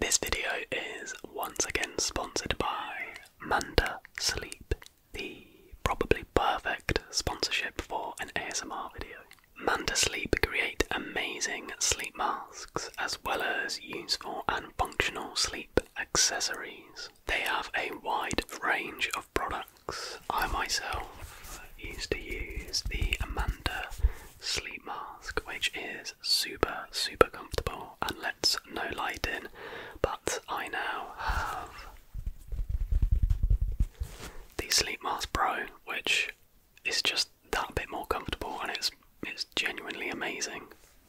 This video is once again sponsored by Manta Sleep, the probably perfect sponsorship for an ASMR video. Manta Sleep create amazing sleep masks as well as useful and functional sleep accessories. They have a wide range of products. I myself used to use the Amanda sleep mask, which is super, super comfortable and lets no light in. But I now have the Sleep Mask Pro, which is just that bit more comfortable and it's it's genuinely amazing.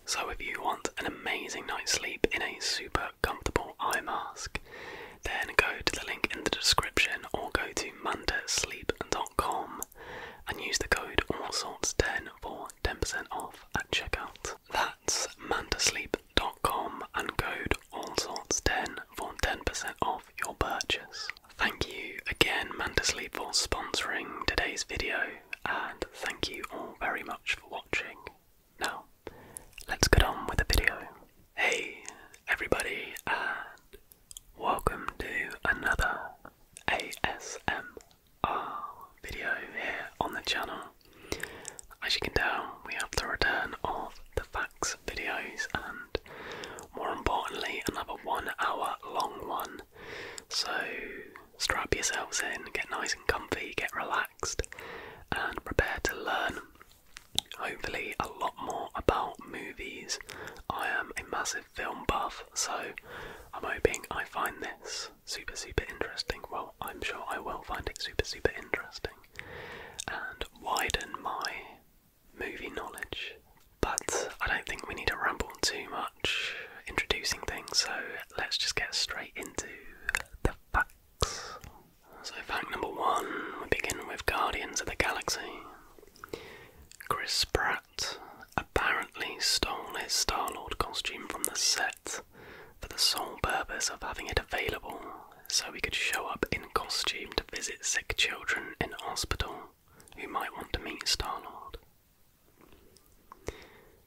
So if you want an amazing night's sleep in a super comfortable eye mask, then go to the link in the description or go to mandasleep.com and use the code AllSorts10 for 10% off at checkout. That's mantasleep.com and code AllSorts10 for 10% off your purchase. Thank you again, Mantasleep, for sponsoring today's video, and thank you all very much for watching. Now, let's get on with the video. Hey, everybody, and welcome to another ASM uh, video here on the channel. As you can tell, we have the return of the facts videos and more importantly, another one hour long one. So strap yourselves in, get nice and comfy, get relaxed, and prepare to learn hopefully a lot more about movies. I am a massive film buff, so I'm hoping I find this super, super interesting. Well, I'm sure I will find it super, super interesting and widen my movie knowledge. But I don't think we need to ramble too much introducing things, so let's just get straight into the facts. So, fact number one we begin with Guardians of the Galaxy. Chris Pratt apparently stole his Star Lord costume from the set for the sole purpose of having it available so he could show up in costume to visit sick children in hospital who might want to meet Star Lord.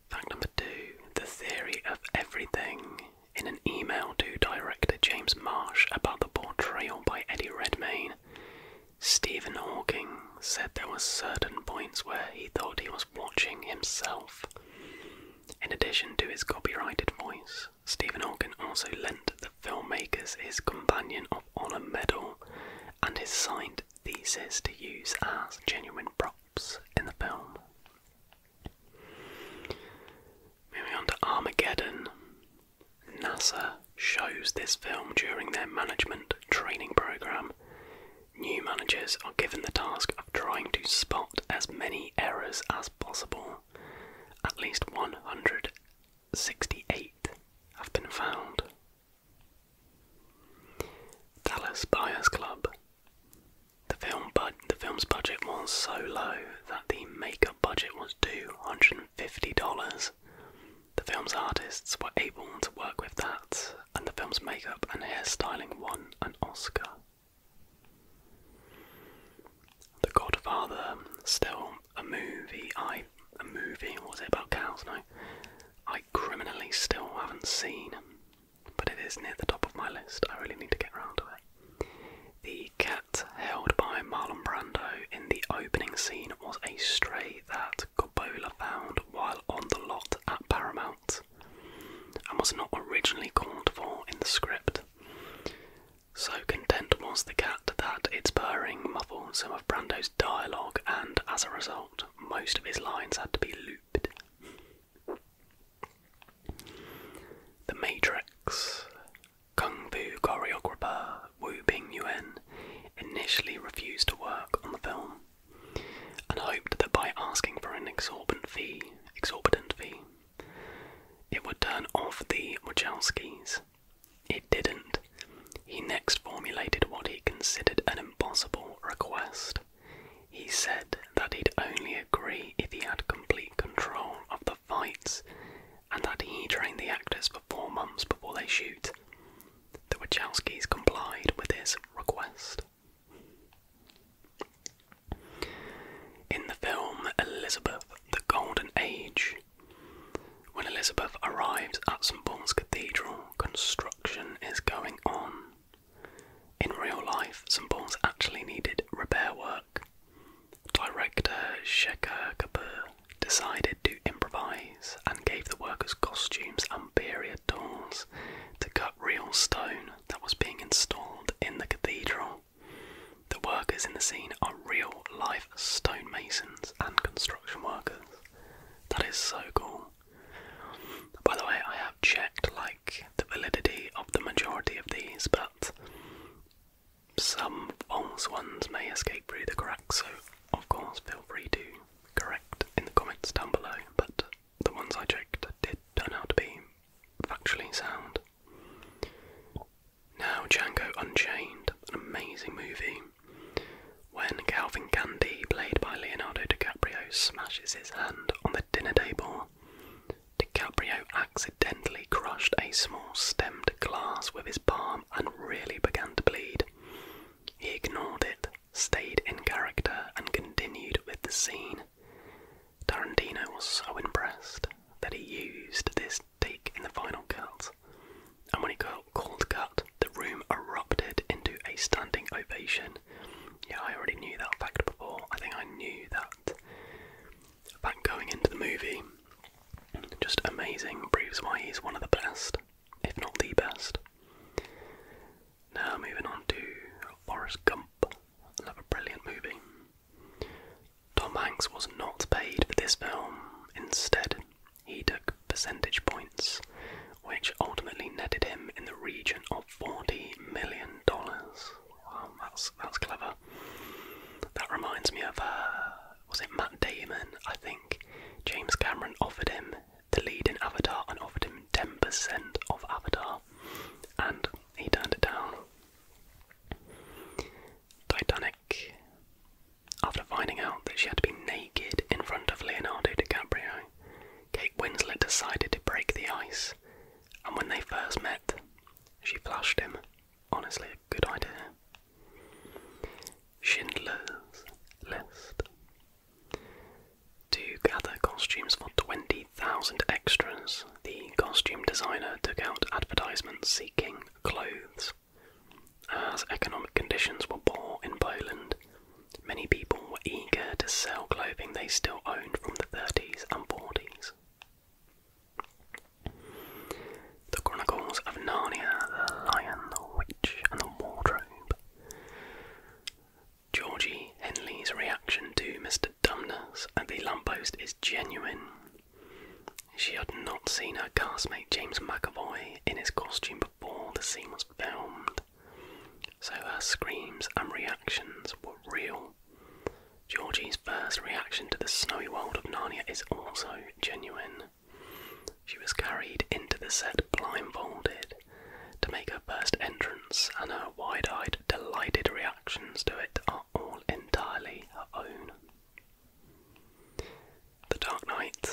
Fact number two the theory of everything. In an email to director James Marsh about the portrayal by Eddie Redmayne, Stephen Hawking said there were certain points where he thought he was watching himself. In addition to his copyrighted voice, Stephen Hawking also lent the filmmakers his Companion of Honor medal and his signed thesis to use as genuine props in the film. Moving on to Armageddon, NASA shows this film during their management training program New managers are given the task of trying to spot as many errors as possible. At least 168 have been found. Dallas Buyers Club. The the film's budget was so low that the makeup budget was $250. The film's artists were able to work with that and the film's makeup and hairstyling won an Oscar. The Godfather, still a movie. I a movie. Was it about cows? No, I criminally still haven't seen, but it is near the top of my list. I really need to get around to it. The cat held by Marlon Brando in the opening scene was a stray that Gobola found while on the lot at Paramount and was not originally called for in the script. So content was the cat that its purring muffled some of Brando's dialogue, and as a result, most of his lines had to be looped. The Matrix. Kung Fu choreographer Wu Ping initially refused to work on the film and hoped that by asking for an exorbitant fee, exorbitant fee, it would turn off the Wojcikis. It didn't. He next formulated what he considered an impossible request. He said that he'd only agree if he had complete control of the fights and that he trained the actors for four months before they shoot. The Wachowskis complied with his request. In the film Elizabeth the Golden Age, when Elizabeth arrives at St. Paul's Cathedral, construction is going on. In real life, St. Paul's actually needed repair work. Director Shekhar Kapoor decided to improvise and gave the workers costumes and period tools to cut real stone that was being installed in the cathedral. The workers in the scene are real life stonemasons and construction workers. That is so cool. By the way, I have checked like the validity of the majority of these, but some false ones may escape through the cracks, so of course feel free to correct in the comments down below, but the ones I checked did turn out to be factually sound. Now, Django Unchained, an amazing movie. When Calvin Candy, played by Leonardo DiCaprio, smashes his hand on the dinner table, DiCaprio accidentally crushed a small stemmed glass with his palm and really began to bleed. He ignored it stayed in character and continued with the scene. Tarantino was so impressed that he used this take in the final cut, and when he called cut, the room erupted into a standing ovation. Yeah, I already knew that fact before. I think I knew that fact going into the movie. Just amazing, proves why he's one of the best, if not the best. Now moving on to Forrest Gump, another brilliant movie. Tom Hanks was not paid for this film. Instead, he took percentage points, which ultimately netted him in the region of forty million dollars. Wow, that's that's clever. That reminds me of uh, was it Matt Damon? I think James Cameron offered him the lead in Avatar and offered him 10% of Avatar, and he turned it down. Titanic, after finding out that she had to be naked in front of Leonardo DiCaprio, Kate Winslet decided to break the ice, and when they first met, she flashed him. Honestly, a good idea. Schindler's List. To gather costumes for 20,000 extras, the costume designer took out advertisements seeking clothes. As economic conditions were poor in Poland, many people were eager to sell clothing they still owned from the 30s and 40s. The Chronicles of Narnia, The Lion, the Witch, and the Wardrobe Georgie Henley's reaction to Mr. Dumbness at the lamppost is genuine. She had not seen her castmate James McAvoy in his costume before the scene was filmed, so her screams and reactions were real. Georgie's first reaction to the snowy world of Narnia is also genuine. She was carried into the set blindfolded to make her first entrance, and her wide eyed, delighted reactions to it are all entirely her own. The Dark Knight,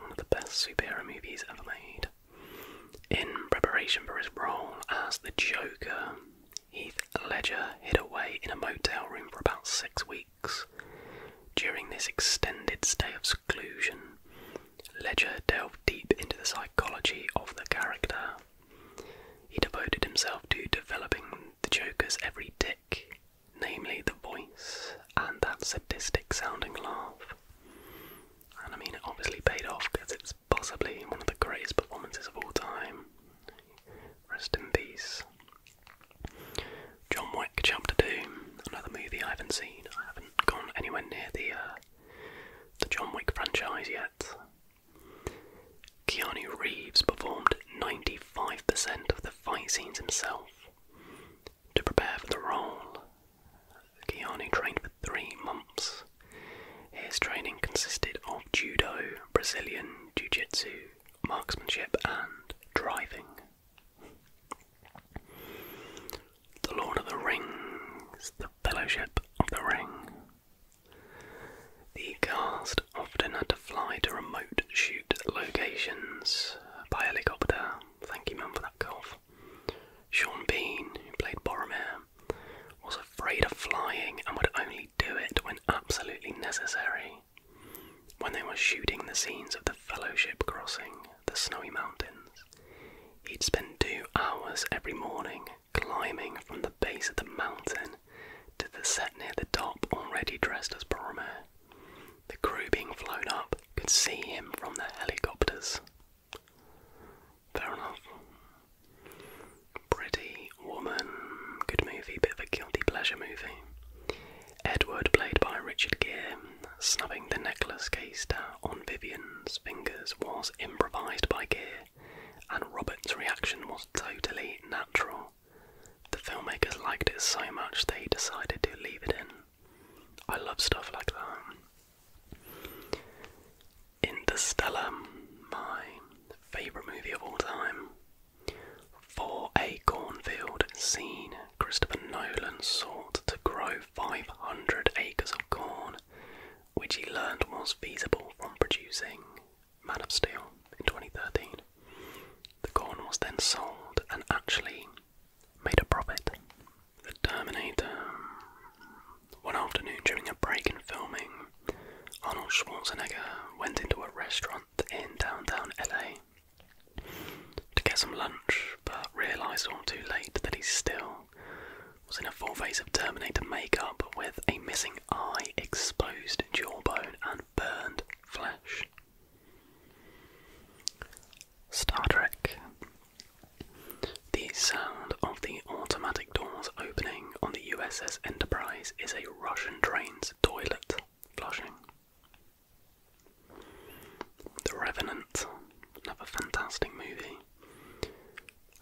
one of the best superhero movies ever made. In preparation for his role as the Joker, Heath Ledger hid away in a motel room for about six weeks. During this extended stay of seclusion, Ledger delved deep into the psychology of the character. He devoted himself to developing the Joker's every tick, namely the voice and that sadistic sounding laugh. And I mean, it obviously paid off because it's possibly one of the greatest performances of all time. Rest in peace. John Wick Chapter 2, another movie I haven't seen. I haven't gone anywhere near the uh, the John Wick franchise yet. Keanu Reeves performed 95% of the fight scenes himself. To prepare for the role, Keanu trained for three months. His training consisted of judo, Brazilian jiu jitsu, marksmanship, and driving. The Lord of the Rings, The Fellowship of the Ring. The cast often had to fly to remote shoot locations by helicopter. Thank you, Mum, for that cough. Sean Bean, who played Boromir, was afraid of flying and would only do it when absolutely necessary. When they were shooting the scenes of the Fellowship Crossing, the snowy mountains. He'd spend two hours every morning climbing from the base of the mountain to the set near the top, already dressed as Boromir. The crew being flown up could see him from the helicopters. Fair enough. Pretty Woman, good movie, bit of a guilty pleasure movie. Edward, played by Richard Gere, snubbing the necklace case down on Vivian's fingers was improvised by Gear, and Robert's reaction was totally natural. The filmmakers liked it so much they decided to leave it in. I love stuff like that. Interstellar, my favourite movie of all time. For a cornfield scene, Christopher Nolan sought to grow 500 acres of corn, which he learned was feasible from producing Man of Steel in 2013. The corn was then sold and actually made a profit. The Terminator. Um, one afternoon during a break in filming, Arnold Schwarzenegger went into a restaurant in downtown LA to get some lunch, but realised all too late that he's still was in a full face of Terminator makeup with a missing eye, exposed jawbone, and burned flesh. Star Trek. The sound of the automatic doors opening on the USS Enterprise is a Russian train's toilet flushing. The Revenant another fantastic movie.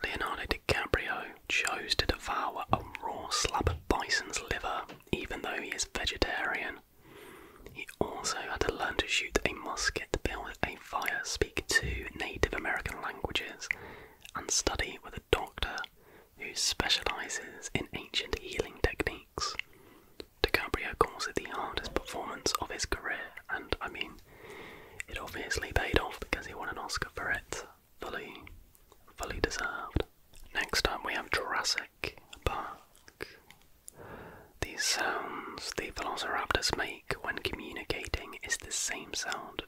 Leonardo DiCaprio chose to devour a raw slab of bison's liver, even though he is vegetarian. He also had to learn to shoot a musket, build a fire, speak two Native American languages, and study with a doctor who specialises in ancient healing techniques. DiCaprio calls it the hardest performance of his career, and I mean, it obviously paid off because he won an Oscar for it. Fully, fully deserved. Next time we have Jurassic Park. These sounds the velociraptors make when communicating is the same sound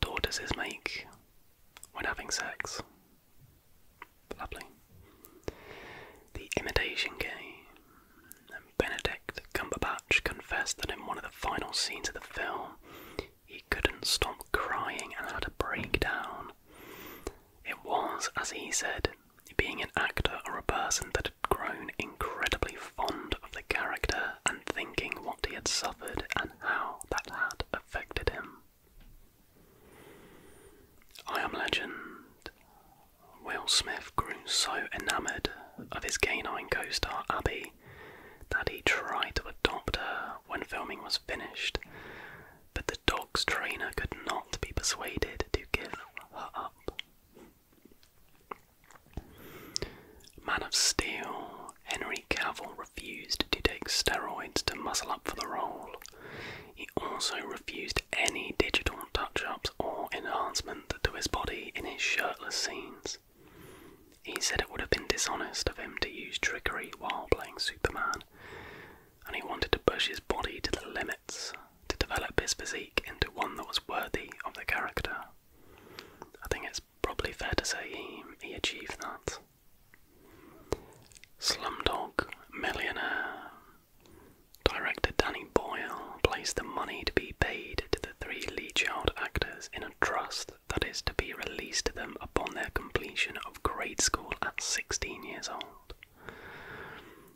tortoises make when having sex. Lovely. The Imitation Game. Benedict Cumberbatch confessed that in one of the final scenes of the film, he couldn't stop crying and had a breakdown. It was, as he said, being an actor or a person that had grown incredibly fond of the character and thinking what he had suffered and how that had affected him. I Am Legend Will Smith grew so enamoured of his canine co star Abby that he tried to adopt her when filming was finished, but the dog's trainer could not be persuaded to give her up. Man of Steel, Henry Cavill refused to take steroids to muscle up for the role. He also refused any digital touch ups or enhancement to his body in his shirtless scenes. He said it would have been dishonest of him to use trickery while playing Superman, and he wanted to push his body to the limits to develop his physique into one that was worthy of the character. I think it's probably fair to say he, he achieved that. Slumdog Millionaire. Director Danny Boyle placed the money to be paid to the three Lee Child actors in a trust that is to be released to them upon their completion of grade school at 16 years old.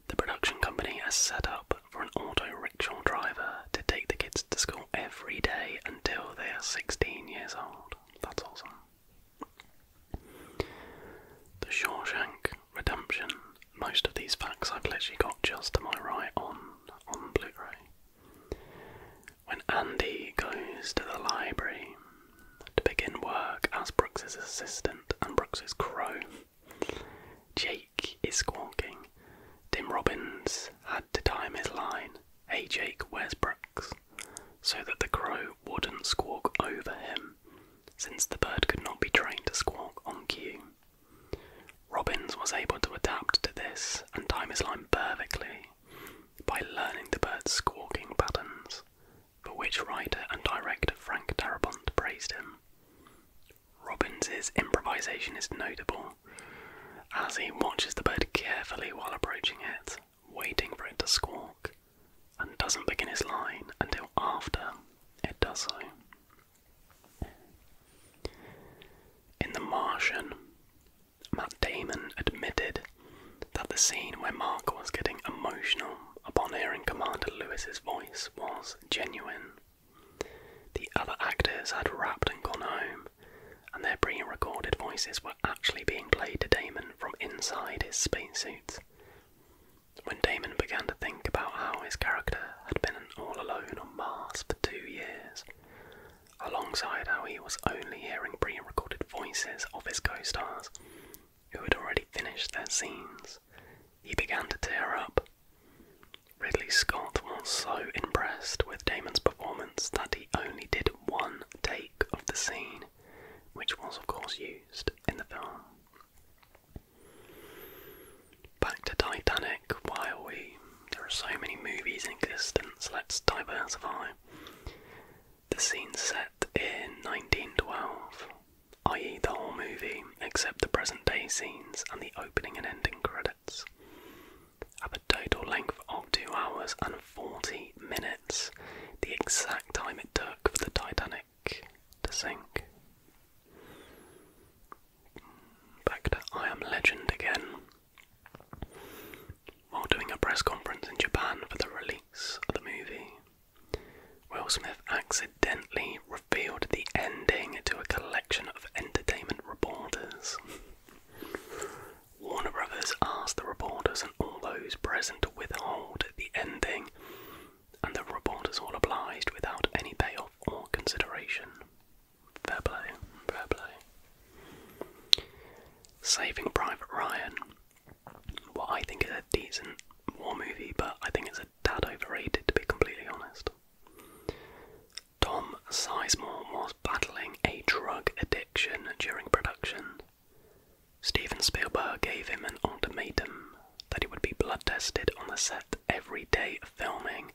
The production company has set up for an auto rickshaw driver to take the kids to school every day until they are 16 years old. That's awesome. The Shawshank Redemption. Most of these facts I've literally got just to my right on on Blu-ray. When Andy goes to the library to begin work as Brooks's assistant and Brooks's crow, Jake is squawking. Tim Robbins had to time his line. Hey Jake, where's Brooks? So that the crow wouldn't squawk over him, since the bird could not be trained to squawk on cue. Robbins was able to adapt to this and time his line perfectly by learning the bird's squawking patterns, for which writer and director Frank Darabont praised him. Robbins' improvisation is notable as he watches the bird carefully while approaching it, waiting for it to squawk, and doesn't begin his line until after it does so. In The Martian, Matt Damon admitted that the scene where Mark was getting emotional upon hearing Commander Lewis's voice was genuine. The other actors had rapped and gone home, and their pre recorded voices were actually being played to Damon from inside his spacesuits. When Damon began to think about how his character had been all alone on Mars for two years, alongside how he was only hearing pre recorded voices of his co stars who had already finished their scenes. He began to tear up. Ridley Scott was so impressed with Damon's performance that he only did one take of the scene, which was, of course, used in the film. Back to Titanic, why are we? There are so many movies in existence, let's diversify. The scene set in 1912, i.e., the whole movie, except the present day scenes and the opening and ending credits. Have a total length of 2 hours and 40 minutes, the exact time it took for the Titanic to sink back to I Am Legend again. While doing a press conference in Japan for the release of the movie, Will Smith accidentally revealed the ending to a collection of entertainment reporters. Warner Brothers asked the reporters and all those present to withhold the ending, and the reporters all obliged without any payoff or consideration. Fair play, fair play. Saving Private Ryan. What I think is a decent war movie, but I think it's a tad overrated to be completely honest. Tom Sizemore was battling a drug addiction during production. Steven Spielberg gave him an ultimatum that he would be blood tested on the set every day of filming,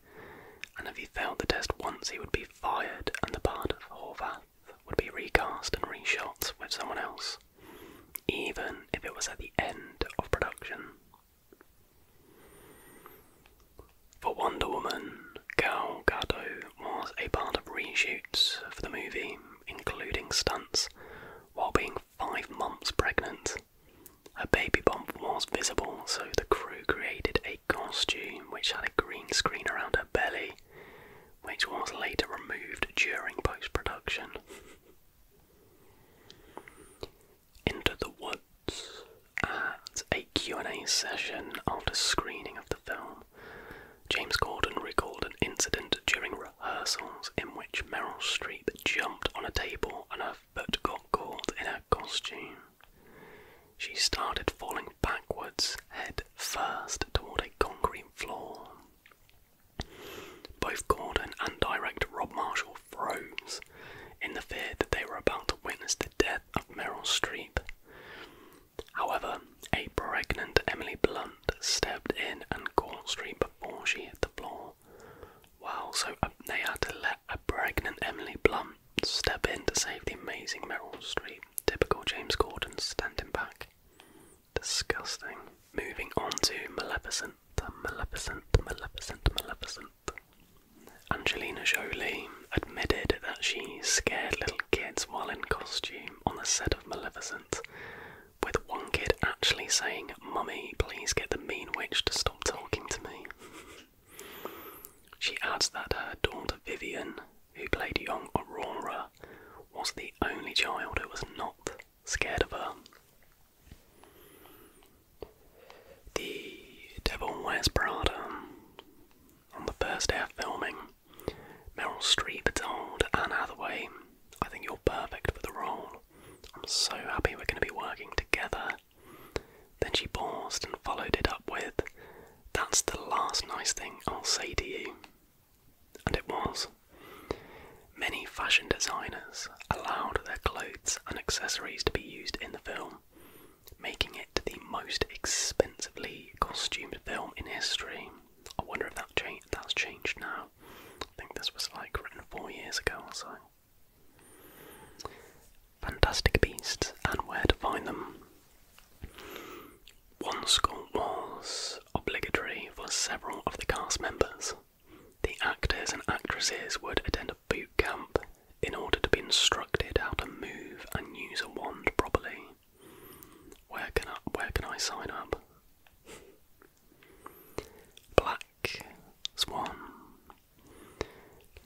and if he failed the test once, he would be fired, and the part of Horvath would be recast and reshot with someone else, even if it was at the end of production. For Wonder Woman, Gal Gadot was a part of reshoots for the movie, including stunts, while being five months pregnant. A baby bomb was visible, so the crew created a costume which had a green screen around her belly, which was later removed during post production. Into the Woods. At a Q&A session after screening of the film, James Gordon recalled an incident during rehearsals in which Meryl Streep jumped on a table and a but got caught in her costume. She started falling backwards, head first, toward a concrete floor. Both Gordon and director Rob Marshall froze in the fear that they were about to witness the death of Meryl Streep. However, a pregnant Emily Blunt stepped in and caught Streep before she hit the floor. Wow, so they had to let a pregnant Emily Blunt step in to save the amazing Meryl Streep. Typical James Gordon standing back. Disgusting. Moving on to Maleficent, Maleficent, Maleficent, Maleficent. Angelina Jolie admitted that she scared little kids while in costume on the set of Maleficent, with one kid actually saying, Mummy, please get the mean witch to stop talking to me. She adds that her daughter Vivian, who played young Aurora, was the only child who was not scared of her. The Devil Wears Prada. On the first day of filming, Meryl Streep told Anne Hathaway, I think you're perfect for the role. I'm so happy we're going to be working together then she paused and followed it up with, That's the last nice thing I'll say to you. And it was. Many fashion designers allowed their clothes and accessories to be used in the film, making it the most expensively costumed film in history. I wonder if that that's changed now. I think this was like written four years ago or so. Fantastic Beasts and Where to Find Them. One school was obligatory for several of the cast members. The actors and actresses would attend a boot camp in order to be instructed how to move and use a wand properly. Where can I, where can I sign up? Swan.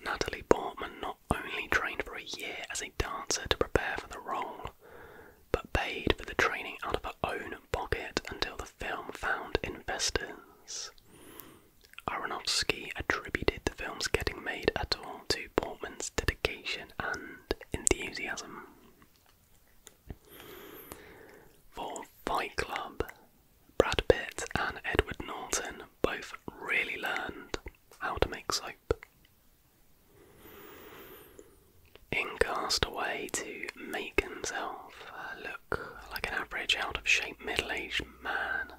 Natalie Portman not only trained for a year as a dancer to prepare for the role, but paid for the training out of her own pocket until the film found investors. Aronofsky attributed the film's getting made at all to Portman's dedication and enthusiasm. For Fight Club, Brad Pitt and Edward Norton both really learned how to make soap. In Castaway, to make himself uh, look like an average, out of shape, middle aged man,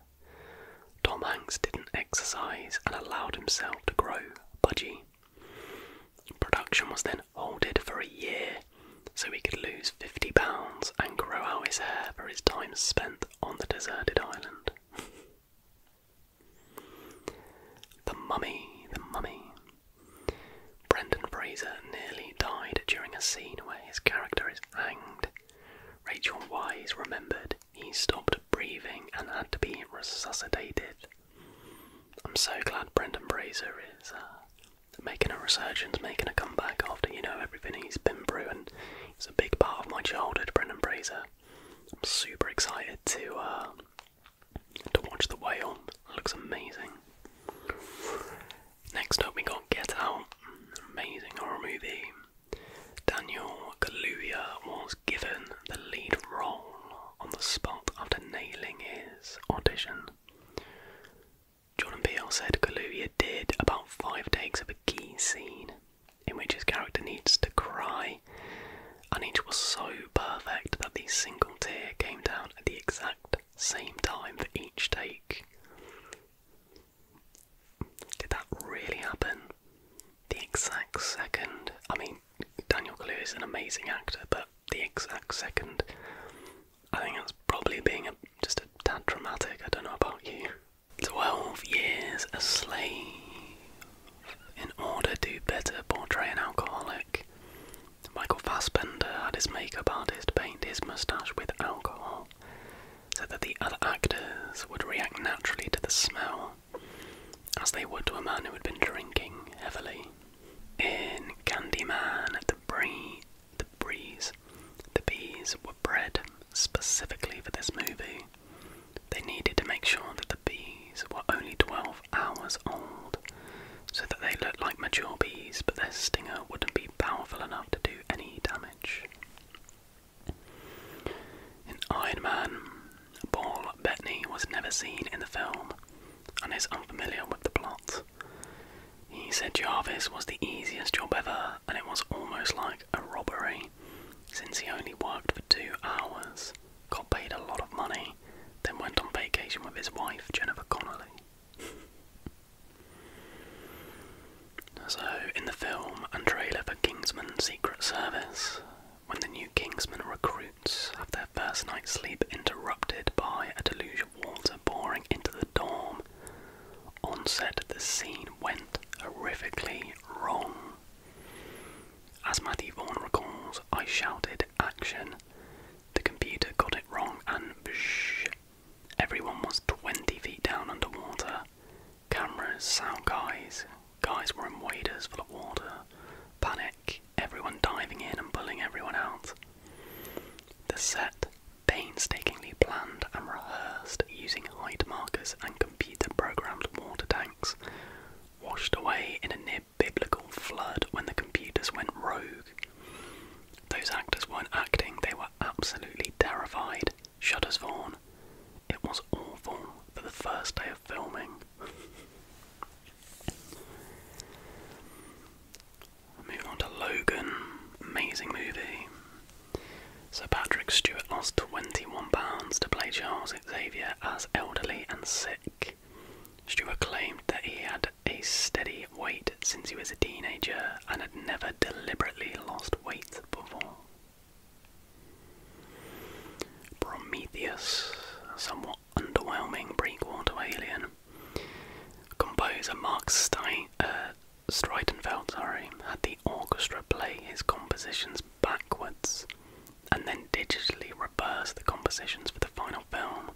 Tom Hanks didn't exercise and allowed himself to grow pudgy. Production was then halted for a year so he could lose 50 pounds and grow out his hair for his time spent on the deserted island. the Mummy, The Mummy. Brendan Fraser nearly died during a scene where his character is hanged. Rachel Wise remembered he stopped breathing and had to be resuscitated. I'm so glad Brendan Fraser is uh, making a resurgence, making a comeback after you know everything he's been through, and it's a big part of my childhood, Brendan Fraser. I'm super excited to uh, to watch The Whale. It looks amazing. Next up, we got Get Out. Amazing horror movie. Daniel Kaluuya was given the lead role on the spot after nailing his audition. Jordan Peele said Kaluuya did about five takes of a key scene in which his character needs to cry, and each was so perfect that the single tear came down at the exact same time for each take. Did that really happen? The exact second. I mean, Daniel Kaluuya is an amazing actor, but the exact second. I think it was probably being just a tad dramatic. I don't know about you. 12 years a slave in order to better portray an alcoholic. Michael Fassbender had his makeup artist paint his moustache with alcohol so that the other actors would react naturally to the smell, as they would to a man who had been drinking heavily. In Candyman, the breed the breeze. The bees were bred specifically for this movie. They needed to make sure that the bees were only 12 hours old so that they looked like mature bees, but their stinger wouldn't be powerful enough to do any damage. In Iron Man, Paul Bettany was never seen in the film and is unfamiliar with the plot. He said Jarvis was the easiest job ever, and it was almost like a robbery since he only worked for two hours, got paid a lot of money, then went on vacation with his wife, Jennifer Connolly. so, in the film and trailer for Kingsman Secret Service, when the new Kingsman recruits have their first night's sleep interrupted by a deluge of water pouring into the dorm, on set the scene went horrifically wrong. As Matthew Vaughan recalls, I shouted action. The computer got it wrong and bsh. Everyone was 20 feet down underwater. Cameras, sound guys, guys were in waders full of water. Panic, everyone diving in and pulling everyone out. The set painstakingly planned and rehearsed using height markers and computer programmed water tanks, washed away in a near biblical flood when the computers went rogue. Those actors weren't acting, they were absolutely terrified, shudders Vaughn. It was awful for the first day of filming. Move on to Logan, amazing movie. Sir Patrick Stewart lost £21 to play Charles Xavier as elderly and sick. Stewart claimed that he had a steady weight since he was a teenager and had never deliberately lost weight before. Prometheus, somewhat underwhelming prequel to Alien. Composer Mark Stein, uh, Streitenfeld sorry, had the orchestra play his compositions backwards and then digitally reverse the compositions for the final film.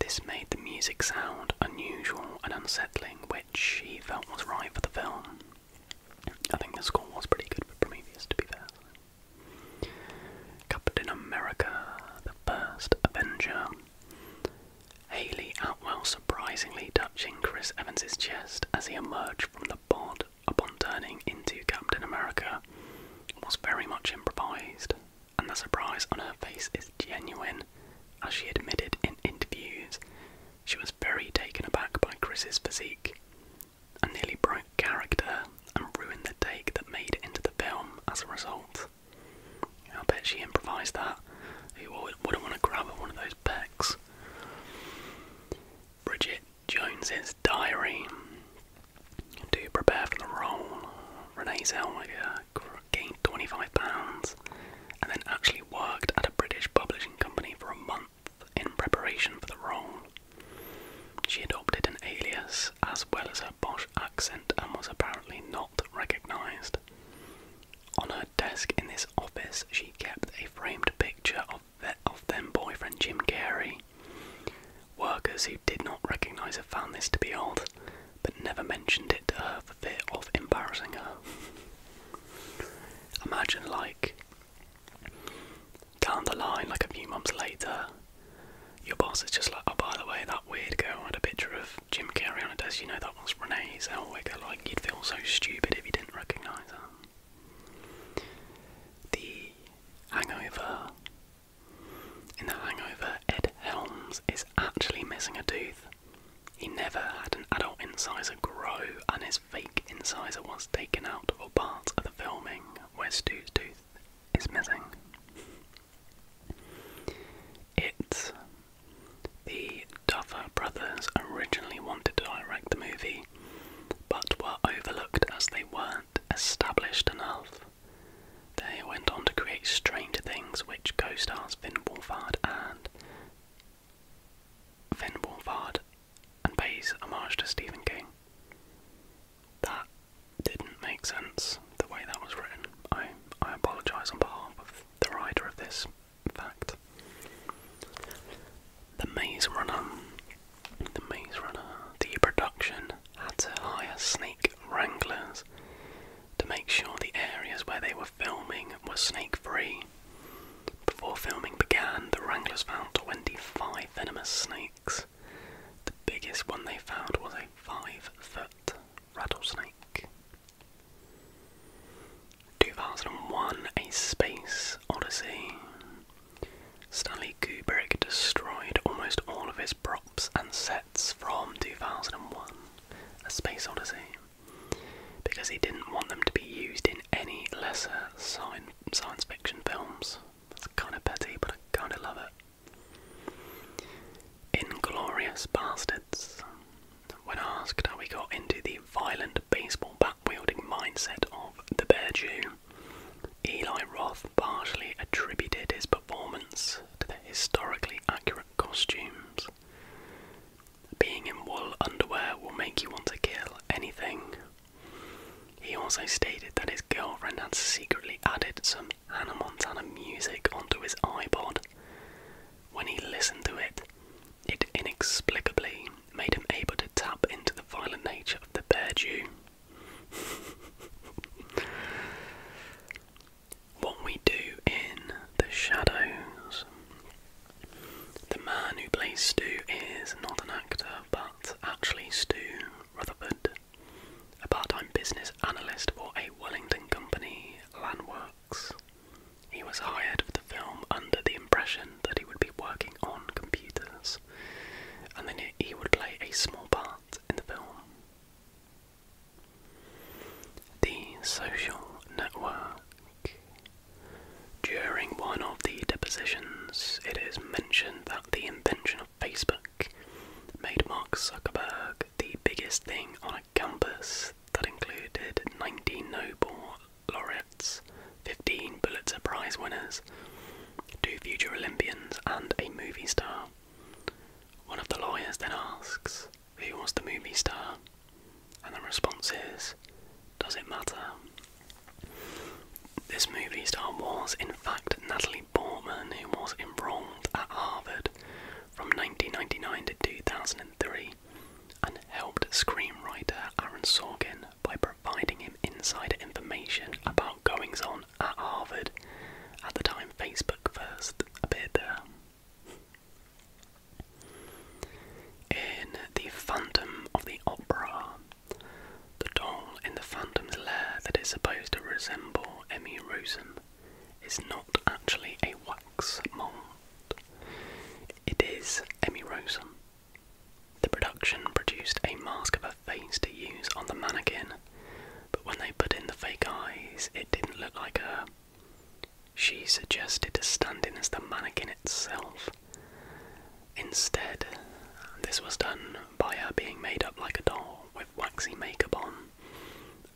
This made the music sound unusual and unsettling, which he felt was right for the film. I think the score was pretty good for Prometheus, to be fair. Captain America, the first Avenger. Haley Atwell surprisingly touching Chris Evans's chest as he emerged from the pod upon turning into Captain America was very much improvised, and the surprise on her face is genuine, as she admitted in interviews. She was very taken aback by Chris's physique and nearly broke character and ruined the take that made it into the film as a result. I bet she improvised that. Who wouldn't want to grab at one of those pecs? Bridget Jones's Diary. To prepare for the role, Renee Zellweger gained 25 pounds and then actually worked at a British publishing company for a month in preparation for the role. She adopted an alias as well as her posh accent and was apparently not recognised. On her desk in this office, she kept a framed picture of, the, of then boyfriend Jim Carrey. Workers who did not recognise her found this to be odd, but never mentioned it to her for fear of embarrassing her. Imagine, like, down the line, like a few months later, your boss is just like, oh, by the way, that weird girl had a picture of Jim Carrey on her desk, you know that was Renee Zellweger. Like you'd feel so stupid if you didn't recognise her. The Hangover. In The Hangover, Ed Helms is actually missing a tooth. He never had an adult incisor grow, and his fake incisor was taken out for part of the filming where Stu's tooth is missing. It the Duffer brothers originally wanted to direct the movie, but were overlooked as they weren't established enough. They went on to create Stranger Things, which co-stars Finn Wolfhard and Finn Wolfhard and pays homage to Stephen King. That didn't make sense the way that was written. I I apologise on behalf of the writer of this fact. The Maze Runner. The Maze Runner. The production had to hire snake wranglers to make sure the areas where they were filming were snake free. Before filming began, the wranglers found 25 venomous snakes. The biggest one they found was a 5 foot rattlesnake. 2001 A Space Odyssey. Stanley Kubrick destroyed almost all of his props and sets from 2001 A Space Odyssey because he didn't want them to be used in any lesser science fiction films. That's kind of petty, but I kind of love it. Inglorious Bastards. When asked how he got into the violent baseball bat wielding mindset of the Bear Jew, Eli Roth partially attributed his performance to the historically accurate costumes. Being in wool underwear will make you want to kill anything. He also stated that his girlfriend had secretly added some Hannah Montana music onto his iPod, when he listened to it, it inexplicably made him able to tap into the violent nature of the bear Jew. what we do in the shadows. The man who plays Stu is not an actor, but actually Stu Rutherford, a part-time business analyst for a Wellington company, Landworks. He was hired for the film under the impression that he would be working on computers and then he would play a small part in the film. The social network. During one of the depositions, it is mentioned that the invention of Facebook made Mark Zuckerberg the biggest thing on a campus that included 90 Nobel laureates, 15 Pulitzer Prize winners, two future Olympians, and a movie star. One of the lawyers then asks, Who was the movie star? And the response is, Does it matter? This movie star was, in fact, Natalie Portman, who was enrolled at Harvard from 1999 to 2003 and helped screenwriter Aaron Sorkin by providing him insider information about goings on at Harvard at the time Facebook first appeared there. In The Phantom of the Opera, the doll in the Phantom's lair that is supposed to resemble Emmy Rossum is not actually a it is Emmy Rosen. The production produced a mask of a face to use on the mannequin, but when they put in the fake eyes, it didn't look like her. She suggested to stand as the mannequin itself. Instead, this was done by her being made up like a doll with waxy makeup on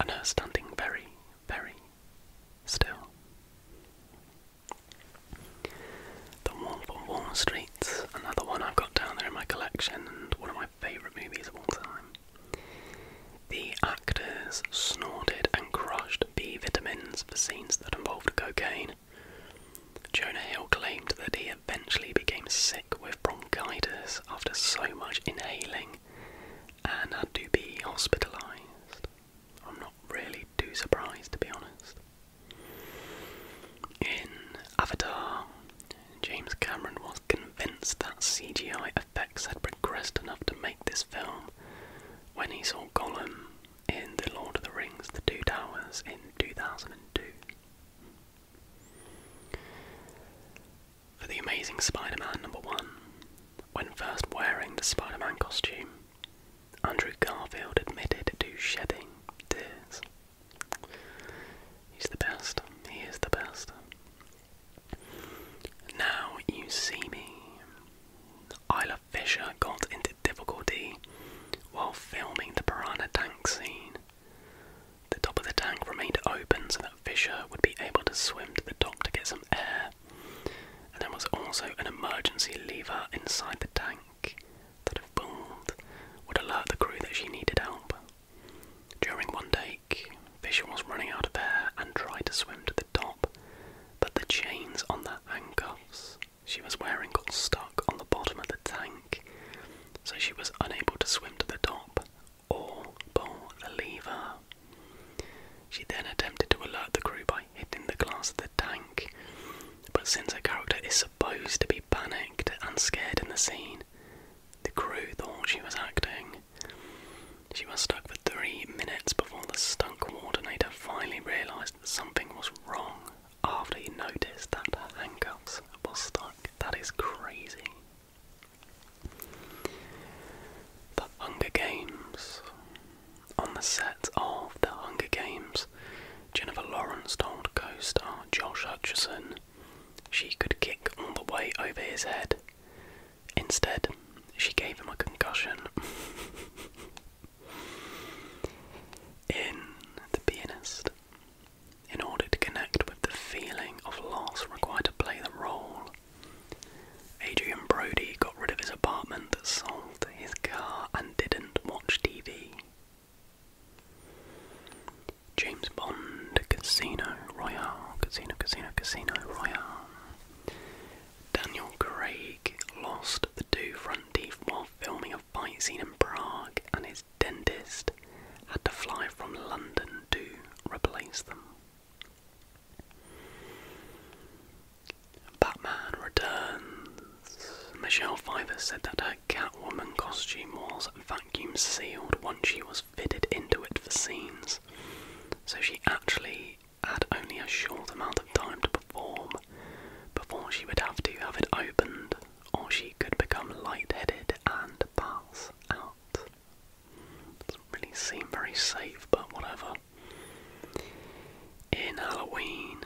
and her standing very, very still. The Wolf on Wall Street's another one I've got down there in my collection and one of my favourite movies of all time. The actors snorted and crushed B vitamins for scenes that involved cocaine. Jonah Hill claimed that he eventually became sick with bronchitis after so much inhaling and had to be hospitalised. I'm not really too surprised to be honest. In Avatar, James Cameron was convinced that CGI effects had progressed enough to make this film when he saw Gollum in The Lord of the Rings The Two Towers in 2002. For The Amazing Spider Man number one, when first wearing the Spider Man costume, Andrew Garfield admitted to shedding tears. He's the best. He is the best. Now you see me. Isla Fisher got into difficulty while filming the piranha tank scene. The top of the tank remained open so that Fisher would be able to swim to the top to get some air there. And there was also an emergency lever inside the tank that, if pulled, would alert the crew that she needed help. During one take, Fisher was running out of air and tried to swim to the top, but the chains on the handcuffs she was wearing got stuck on the bottom of the tank, so she was unable to swim to the top or pull the lever. She then attempted to alert the crew by guy the glass of the tank. But since her character is supposed to be panicked and scared in the scene, the crew thought she was acting. She was stuck for three minutes before the stunt coordinator finally realised that something was wrong after he noticed that her handcuffs were stuck. That is crazy. The Hunger Games. On the set of The Hunger Games, Jennifer Lawrence told co star Josh Hutcherson she could kick all the way over his head. Instead, she gave him a concussion. in The Pianist, in order to connect with the feeling of loss required to play the role, Adrian Brody got rid of his apartment, sold his car, and didn't watch TV. James Bond, Casino Royale, Casino, Casino, Casino Royale. Daniel Craig lost the two front teeth while filming a fight scene in Prague, and his dentist had to fly from London to replace them. Batman Returns. Michelle Pfeiffer said that her Catwoman costume was vacuum sealed once she was fitted into it for scenes, so she actually had only a short amount of time to perform before she would have to have it opened or she could become lightheaded and pass out. Doesn't really seem very safe, but whatever. In Halloween,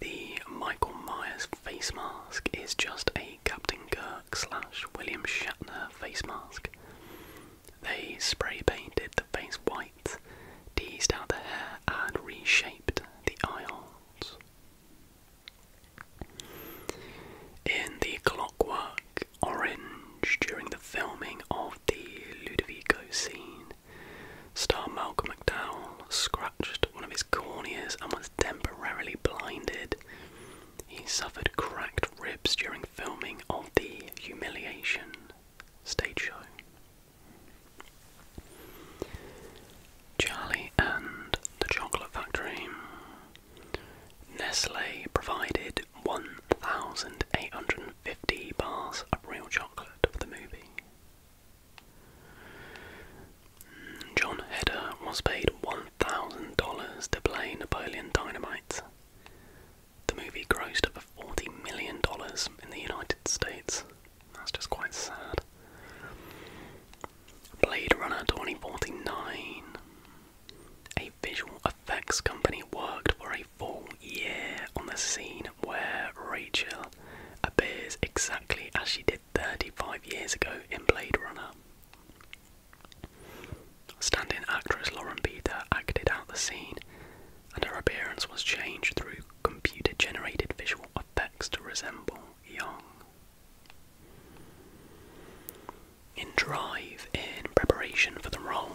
the Michael Myers face mask is just a Captain Kirk slash William Shatner face mask. They spray painted the face white, teased out the hair, and reshaped the eyes. In the Clockwork Orange, during the filming of the Ludovico scene, Star Malcolm McDowell scratched one of his corneas and was temporarily blinded. He suffered cracked ribs during filming of the Humiliation stage show. Charlie and the Chocolate Factory. Nestle provided 1,850 bars of real chocolate for the movie. John Hedder was paid $1,000 to play Napoleon Dynamite. The movie grossed over $40 million in the United States. That's just quite sad. Blade Runner 2049. A visual effects company worked for a full year on the scene where Rachel appears exactly as she did 35 years ago in Blade Runner. Standing actress Lauren Peter acted out the scene, and her appearance was changed through computer generated visual effects to resemble Young. In Drive, in preparation for the role,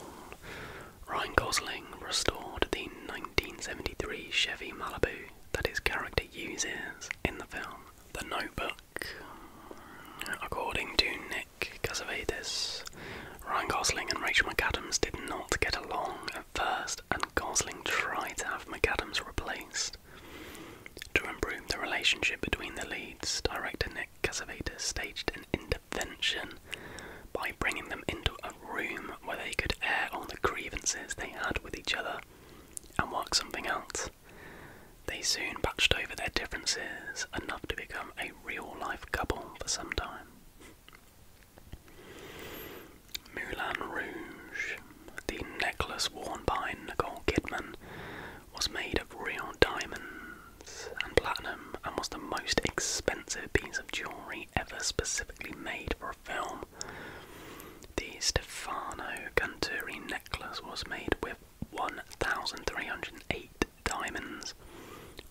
Ryan Gosling restored the 1973 Chevy Malibu that his character uses in the film The Notebook. According to Nick Casavetes, Ryan Gosling and Rachel McAdams did not get along at first, and Gosling tried to have McAdams replaced. To improve the relationship between the leads, director Nick Casavetes staged an intervention by bringing them into room where they could air on the grievances they had with each other and work something out. They soon patched over their differences enough to become a real life couple for some time. Moulin Rouge, the necklace worn by Nicole Kidman, was made of real diamonds and platinum and was the most expensive piece of jewellery ever specifically made for a film. The Stefano Canturi necklace was made with 1,308 diamonds,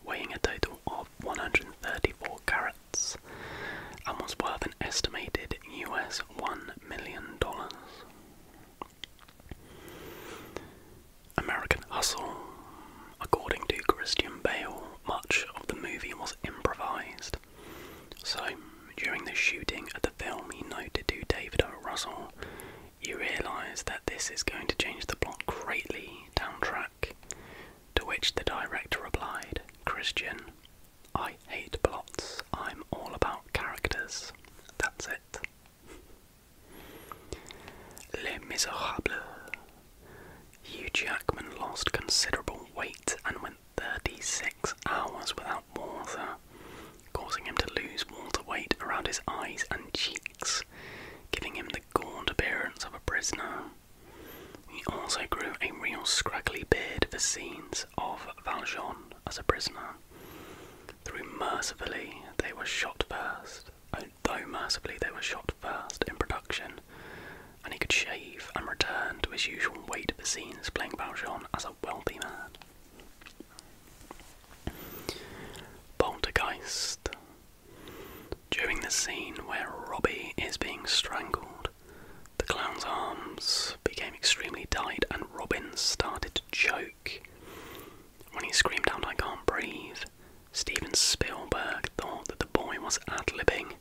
weighing a total of 134 carats, and was worth an estimated US $1 million. American Hustle, according to Christian Bale, much of the movie was improvised. So, during the shooting of the film, he noted to David O. Russell, You realise that this is going to change the plot greatly down track. To which the director replied, Christian, I hate plots, I'm all about characters. That's it. Les Miserables Hugh Jackman lost considerable weight and went 36 hours without water, causing him to lose water weight around his eyes and cheeks, giving him the gaunt appearance of a prisoner. He also grew a real scraggly beard for scenes of Valjean as a prisoner. Through mercifully, they were shot first, oh, though mercifully they were shot first in production and he could shave and return to his usual weight of the scenes playing Valjean as a wealthy man. Poltergeist. During the scene where Robbie is being strangled, the clown's arms became extremely tight and Robin started to choke. When he screamed out, I can't breathe, Steven Spielberg thought that the boy was ad libbing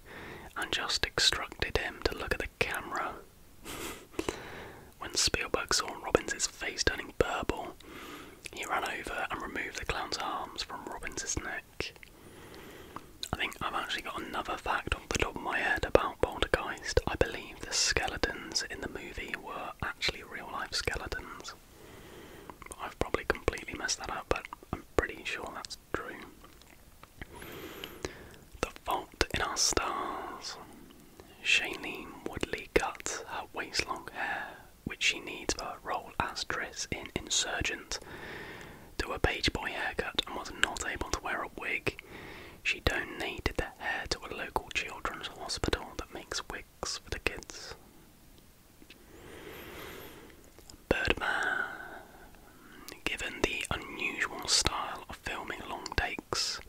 and just instructed him to look at the camera. when Spielberg saw Robbins' face turning purple, he ran over and removed the clown's arms from Robbins' neck. I think I've actually got another fact off the top of my head about Poltergeist. I believe the skeletons in the movie were actually real life skeletons. I've probably completely messed that up, but I'm pretty sure that's true. The Fault in Our Stars. Shailene Woodley cuts her waist long hair, which she needs for a role as Triss in Insurgent, to a page boy haircut and was not able to wear a wig. She donated the hair to a local children's hospital that makes wigs for the kids. Birdman. Given the unusual style of filming long takes,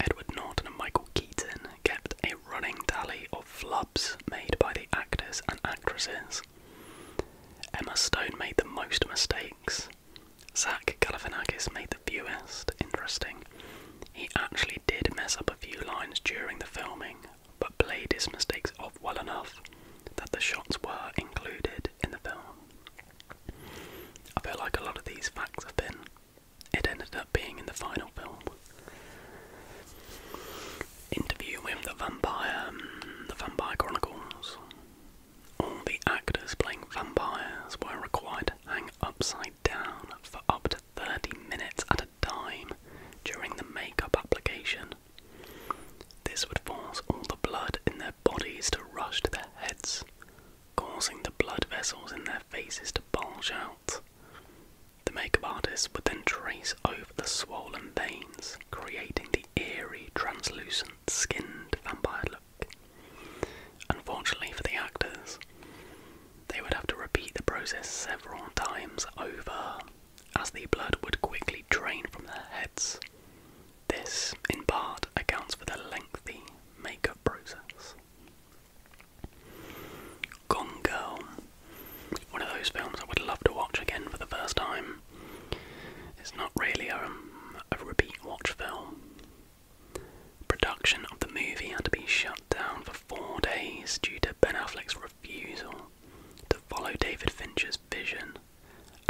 Edward Norton and Michael Keaton kept a running tally of flubs made by the actors and actresses. Emma Stone made the most mistakes. Zach Galifianakis made the fewest. Interesting. He actually did mess up a few lines during the filming, but played his mistakes off well enough that the shots were included in the film. I feel like a lot of these facts have been. It ended up being in the final film. Interview with the Vampire, mm, the Vampire Chronicles. All the actors playing vampires were required to hang upside down for up to 30 minutes at a time during the makeup application this would force all the blood in their bodies to rush to their heads, causing the blood vessels in their faces to bulge out. The makeup artist would then trace over the swollen veins, creating the eerie, translucent, skinned vampire look. Unfortunately for the actors, they would have to repeat the process several times over as the blood would quickly drain from their heads. This, in part, accounts for the lengthy makeup process. Gone Girl, one of those films I would love to watch again for the first time. It's not really a repeat watch film. Production of the movie had to be shut down for four days due to Ben Affleck's refusal to follow David Fincher's vision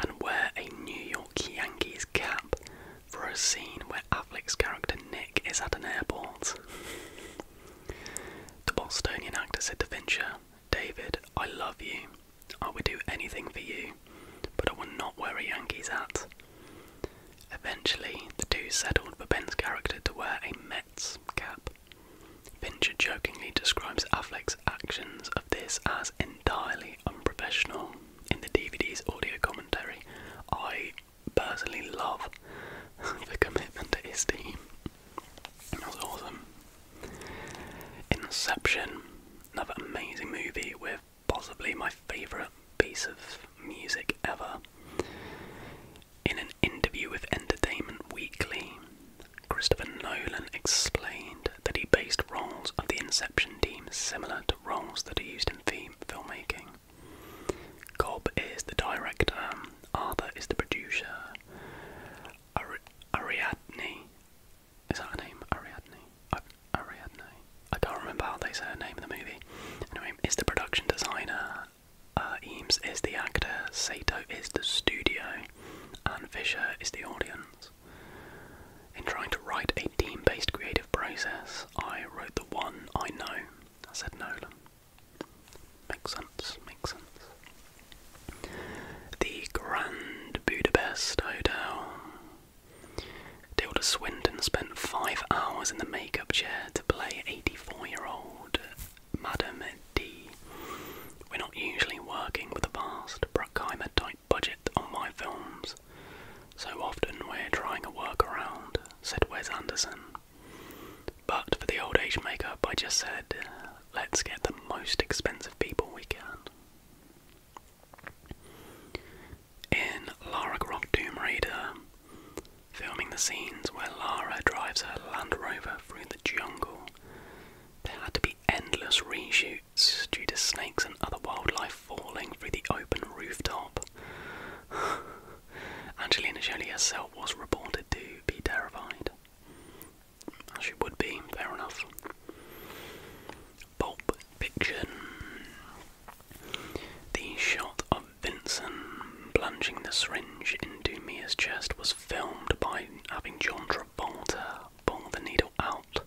and wear a New York Yankees cap for a scene where Affleck's character Nick is at an airport. the Bostonian actor said to Fincher, David, I love you. I would do anything for you, but I will not wear a Yankees hat. Eventually, the two settled for Ben's character to wear a Mets cap, Pincher jokingly describes Affleck's actions of this as entirely unprofessional in the DVD's audio commentary. I personally love the commitment to his team. That was awesome. Inception, another amazing movie with possibly my favourite piece of music ever. In an interview with Entertainment Weekly, Christopher Nolan explained that he based roles of the Inception team similar to roles that are used in theme filmmaking. Cobb is the director, Arthur is the producer, Ariadne. Is that her name? Ariadne? Ariadne. I can't remember how they say her name in the movie. Anyway, is the production designer. Uh, Eames is the actor, Sato is the studio, and Fisher is the audience. In trying to write a team based creative process, I wrote the one I know, I said no. Makes sense, makes sense. The Grand Budapest Hotel. Dilda Swinton spent five hours in the makeup chair to play 84 year old Madame D. We're not usually working with a vast Bruckheimer type budget on my films. So often we're trying a workaround, said Wes Anderson. But for the old age makeup, I just said, let's get the most expensive people we can. In Lara Croft Tomb Raider, filming the scenes where Lara drives her Land Rover through the jungle there had to be endless reshoots due to snakes and other wildlife falling through the open rooftop. Angelina Jolie herself was reported to be terrified. As she would be, fair enough. Pulp Fiction. The shot of Vincent plunging the syringe into Mia's chest was filmed by having John Travolta pulling the needle out,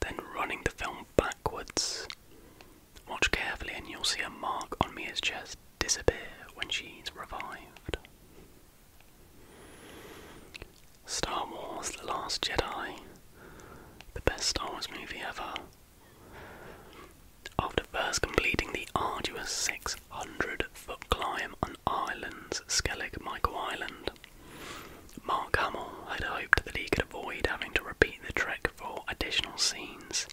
then running the film backwards. Watch carefully, and you'll see a mark on Mia's chest disappear when she's revived. Star Wars The Last Jedi, the best Star Wars movie ever. After first completing the arduous 600 foot climb on Ireland's Skellig Michael Island, Mark Hamill had hoped that he could avoid having to repeat the trek for additional scenes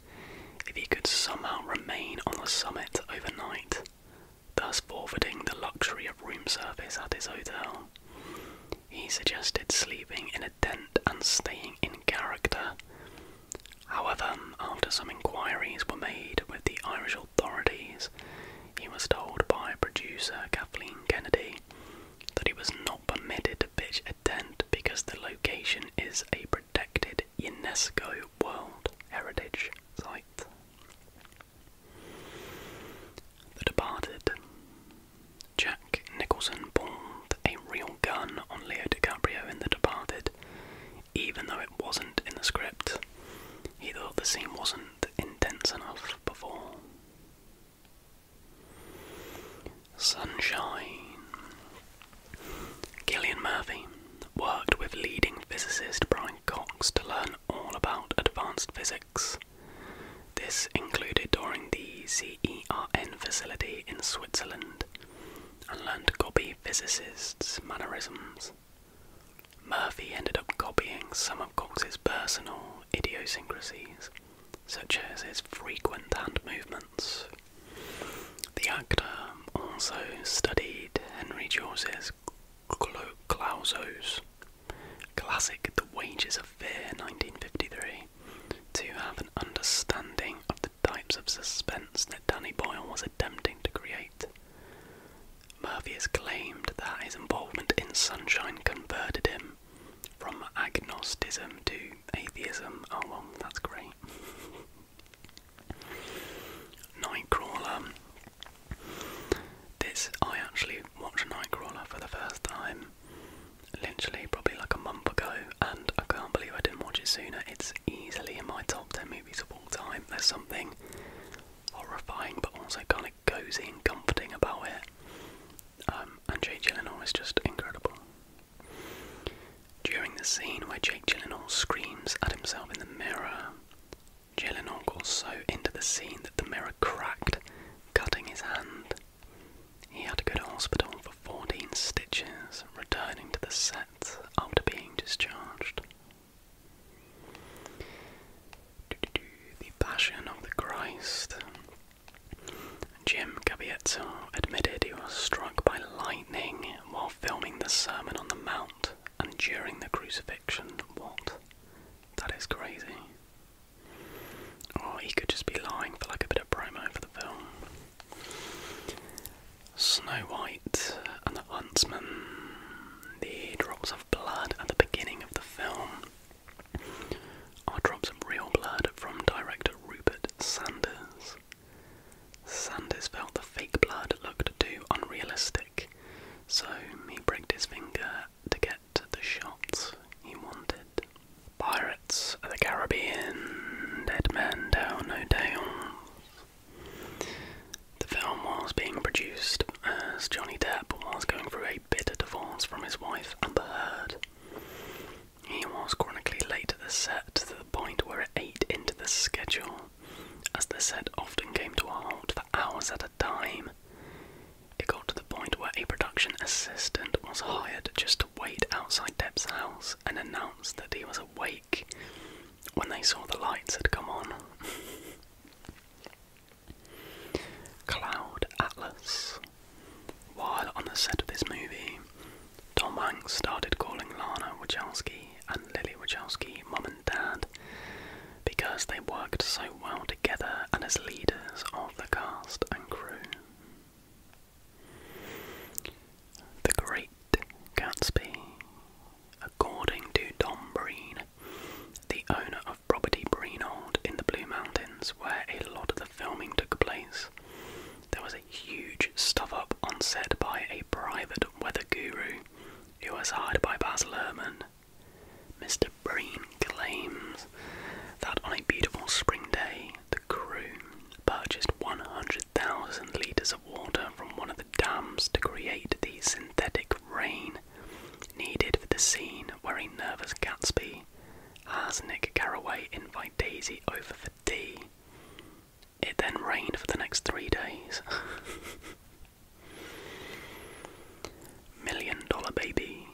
if he could somehow remain on the summit overnight, thus forfeiting the luxury of room service at his hotel. He suggested sleeping in a tent and staying in character. However, after some inquiries were made with the Irish authorities, he was told by producer Kathleen Kennedy that he was not permitted to pitch a tent because the location is a protected UNESCO World Heritage Site. The Departed. Jack Nicholson pulled a real gun on Leo DiCaprio in The Departed, even though it wasn't in the script he thought the scene wasn't intense enough before. Sunshine. Gillian Murphy worked with leading physicist Brian Cox to learn all about advanced physics. This included touring the CERN facility in Switzerland and learned to copy physicists' mannerisms. Murphy ended up copying some of Cox's personal idiosyncrasies, such as his frequent hand movements. The actor also studied Henry George's Clausos classic The Wages of Fear 1953 to have an understanding of the types of suspense that Danny Boyle was attempting to create. Murphy has claimed that his involvement in Sunshine converted him from agnosticism to atheism. Oh, that's great. Nightcrawler. This, I actually watched Nightcrawler for the first time literally probably like a month ago, and I can't believe I didn't watch it sooner. It's easily in my top 10 movies of all time. There's something horrifying but also kind of like cozy and comforting about it. Um, and Jake Gyllenhaal is just incredible. During the scene where Jake Gyllenhaal screams at himself in the mirror, Gyllenhaal got so into the scene that the mirror cracked, cutting his hand. He had to go to hospital for 14 stitches, returning to the set after being discharged. The Passion of the Christ. Jim Gabietto admitted he was struck by lightning while filming the Sermon on the Mount and during the crucifixion. What? That is crazy. Or oh, he could just be lying for like a bit of promo for the film. Snow White and the Huntsman the drops of blood at the beginning of the film are drops of real blood from director Rupert Sanders. Sanders felt the fake blood looked too unrealistic, so he broke his finger to get the shots he wanted. Pirates of the Caribbean, Dead Man Down No Dales. The film was being produced as Johnny Depp was going through a bitter divorce from his wife Amber Heard. He was chronically late at the set to the point where it ate into the schedule, as the set often came to a halt for hours at a time. It got to the point where a production assistant was hired just to wait outside Depp's house and announce that he was awake when they saw the lights had come on. Cloud Atlas. While on the set of this movie, Tom Hanks started calling Lana Wachowski and Lily Wachowski "mom and dad because they worked so well together and as leaders of the cast and crew. The Great Gatsby. According to Don Breen, the owner of property Breenold in the Blue Mountains, where a lot of the filming took place, there was a huge stuff up on set by a private weather guru who was hired by Baz Luhrmann. Mr. Breen claims that on a beautiful spring day, the crew purchased 100,000 litres of water from one of the dams to create the synthetic rain needed for the scene where a nervous Gatsby has Nick Carraway invite Daisy over for tea. It then rained for the next three days. Million Dollar Baby.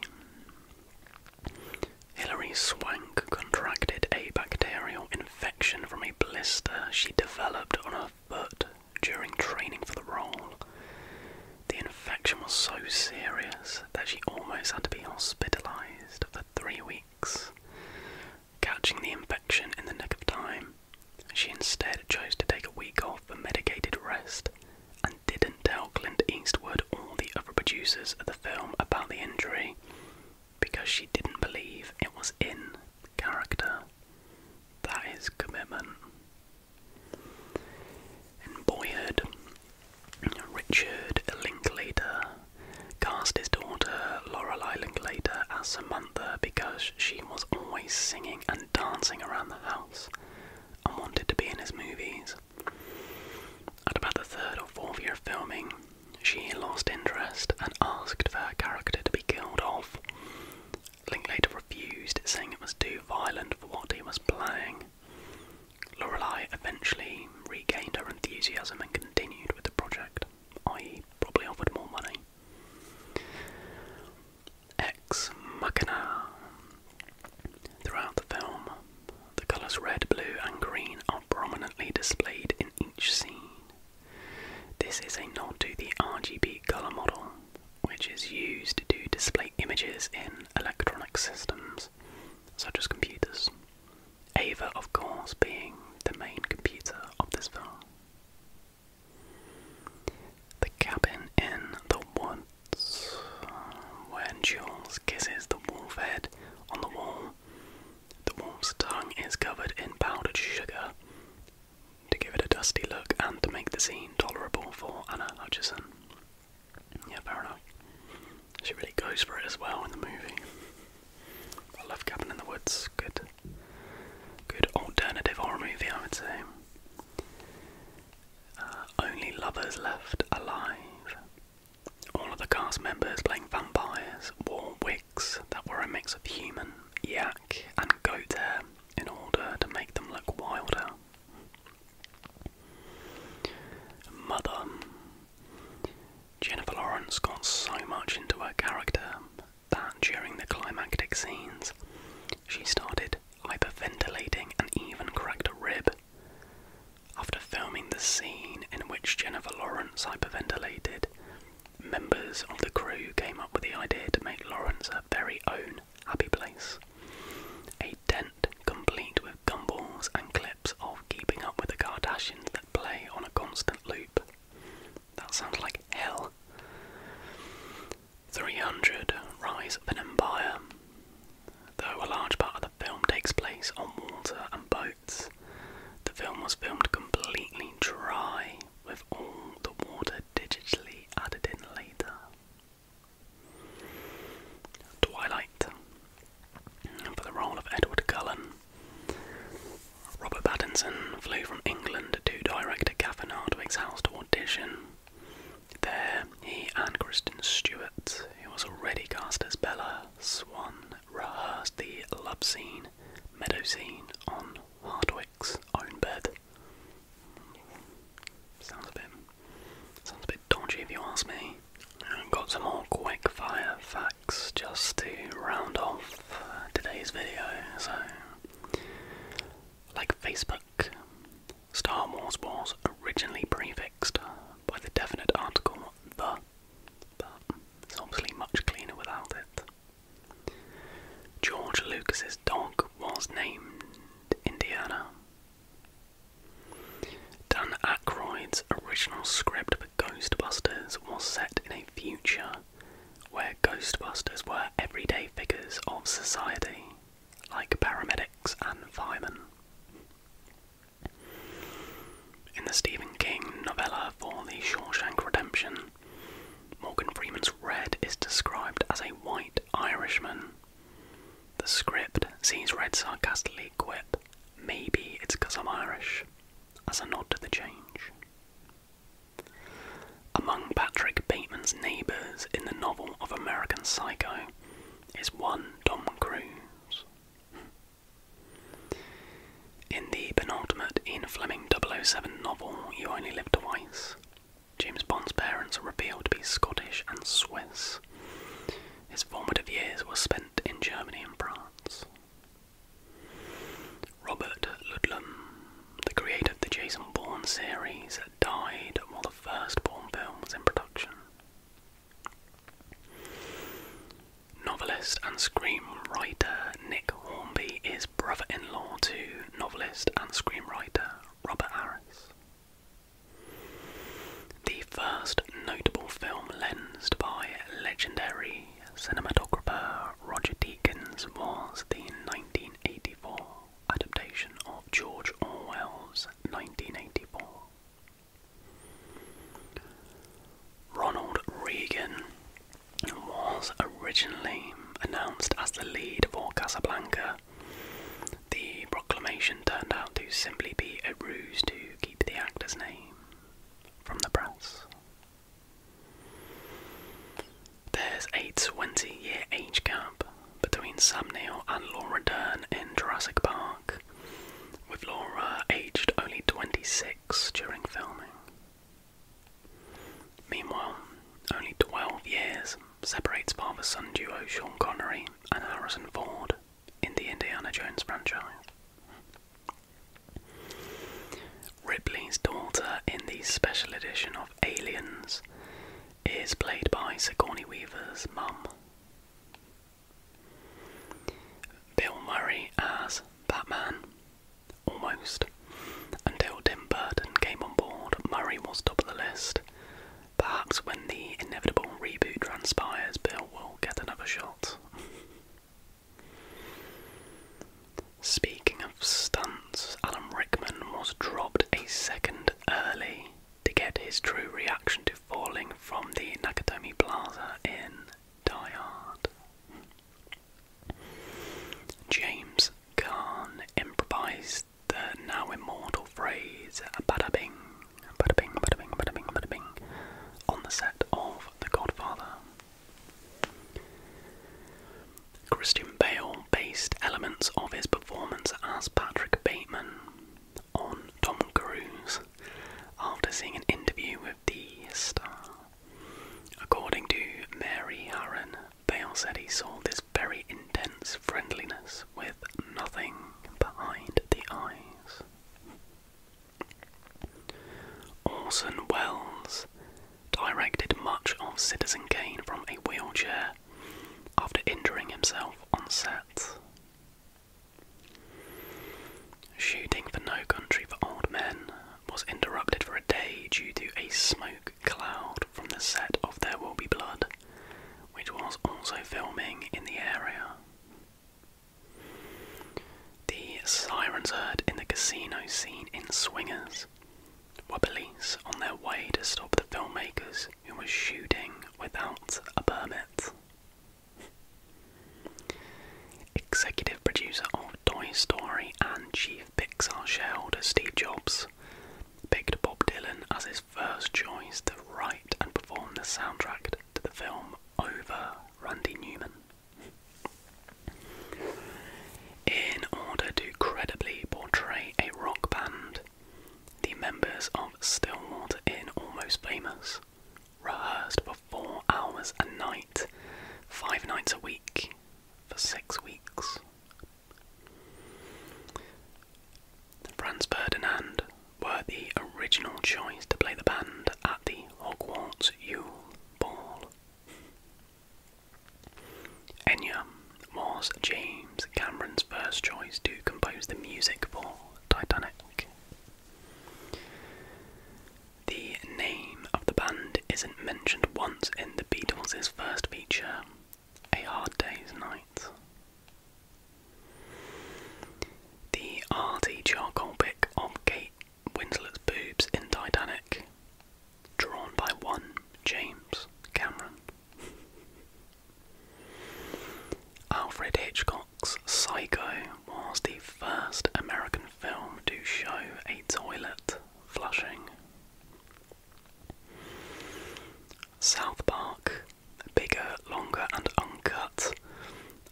Hilary Swank contracted a bacterial infection from a blister she developed on her foot during training for the role, the infection was so serious that she almost had to be hospitalized for three weeks. Catching the infection in the nick of time, she instead chose to take a week off for medicated rest and didn't tell Clint Eastwood or the other producers of the film about the injury because she didn't believe it was in character. That is commitment. In boyhood, Richard Linklater cast his daughter Lorelei Linklater as Samantha because she was always singing and dancing around the house and wanted to be in his movies. At about the third or fourth year of filming, she lost interest and asked for her character to be killed off, Linklater refused, saying it was too violent for what he was playing. Lorelei eventually regained her enthusiasm and continued with the project, i.e., probably offered more money. Ex Machina. Throughout the film, the colours red, blue, and green are prominently displayed in each scene. This is a nod to the RGB colour model, which is used to display images in electronic systems, such as computers. Ava, of course, being the main computer of this film. The cabin in the woods, when Jules kisses the wolf head on the wall, the wolf's tongue is covered in powdered sugar, to give it a dusty look and to make the scene tolerable for Anna Hutchison. Yeah, fair enough. She really goes for it as well in the movie. I love Cabin in the Woods. Good, good alternative horror movie, I would say. Uh, only lovers left alive. All of the cast members playing vampires wore wigs that were a mix of human, yak, and goat hair in order to make them look wilder Mother. Jennifer Lawrence got so much into her character that during the climactic scenes, she started hyperventilating and even cracked a rib. After filming the scene in which Jennifer Lawrence hyperventilated, members of the crew came up with the idea to make Lawrence her very own happy place. A tent complete with gumballs and clips of keeping up with the Kardashians that play on a constant loop. That sounds like hell. 300 Rise of an Empire. Though a large part of the film takes place on water and boats, the film was filmed completely dry, with all the water digitally added in later. Twilight for the role of Edward Cullen. Robert Pattinson flew from England to director Catherine Hardwicke's house to audition. There, he and Kristen Stewart, who was already cast as Bella Swan, rehearsed the love scene, meadow scene on Hardwicke's own bed. Sounds a bit sounds a bit dodgy if you ask me. got some more quick facts just to round off uh, today's video. So, like Facebook, Star Wars was originally prefixed by the definite article the, but it's obviously much cleaner without it. George Lucas's dog was named Indiana. Dan Aykroyd's original script for Ghostbusters was set in a future where Ghostbusters were everyday figures of society, like paramedics and firemen. In the Stephen King novella for The Shawshank Redemption, Morgan Freeman's red is described as a white Irishman the script sees Red sarcastically quip, maybe it's because I'm Irish, as a nod to the change. Among Patrick Bateman's neighbours in the novel of American Psycho is one Tom Cruise. In the penultimate Ian Fleming 007 novel You Only Live Twice, James Bond's parents are revealed to be Scottish and Swiss. His formative years were spent in Germany and France. Robert Ludlum, the creator of the Jason Bond series, died while the first Bond film was in production. Novelist and screenwriter Nick Hornby is brother in law to novelist and screenwriter Robert Harris. The first notable film lensed by legendary cinematographer Roger Deakins was the 1984 adaptation of George Orwell's 1984. Ronald Reagan was originally announced as the lead for Casablanca the proclamation turned out to simply be a ruse to keep the actor's name from the press. There's a 20 year age gap between Sam Neill and Laura Dern in Jurassic Park, with Laura aged only 26 during filming. Meanwhile, only 12 years separates father son duo Sean Connery and Harrison Ford in the Indiana Jones franchise. Ripley's daughter in the special edition of Aliens is played by Sigourney Weaver's mum. Bill Murray as Batman, almost. Until Tim Burton came on board, Murray was top of the list, Perhaps when the inevitable reboot transpires, Bill will get another shot. Speaking of stunts, Alan Rickman was dropped a second early to get his true reaction to falling from the Nakatomi Plaza in Die Hard. James Kahn improvised the now immortal phrase bada bing, bada bing, bada bing, bada bing, bada bing on the set of The Godfather. Christian Bale based elements of his performance as Patrick Bateman on Tom Cruise after seeing an interview with the star. According to Mary Harron, said he saw this very intense friendliness with nothing behind the eyes. Orson Welles directed much of Citizen Kane from a wheelchair after injuring himself on set. Shooting for No Country for Old Men was interrupted for a day due to a smoke cloud from the set of There Will Be Blood which was also filming in the area. The sirens heard in the casino scene in Swingers were police on their way to stop the filmmakers who were shooting without a permit. Executive producer of Toy Story and chief Pixar shareholder Steve Jobs picked Bob Dylan as his first choice to write and perform the soundtrack to the film over Randy Newman. In order to credibly portray a rock band, the members of Stillwater in Almost Famous rehearsed for four hours a night, five nights a week, for six weeks, Franz Ferdinand were the original choice to play the band at the Hogwarts Yule Ball. Enya was James Cameron's first choice to compose the music for Titanic. The name of the band isn't mentioned once in the Beatles' first feature, a Hard Day's Night. The arty charcoal pic of Kate Winslet's boobs in Titanic, drawn by one James Cameron. Alfred Hitchcock's Psycho was the first American film to show a toilet flushing. South Park, bigger, longer, and uncut,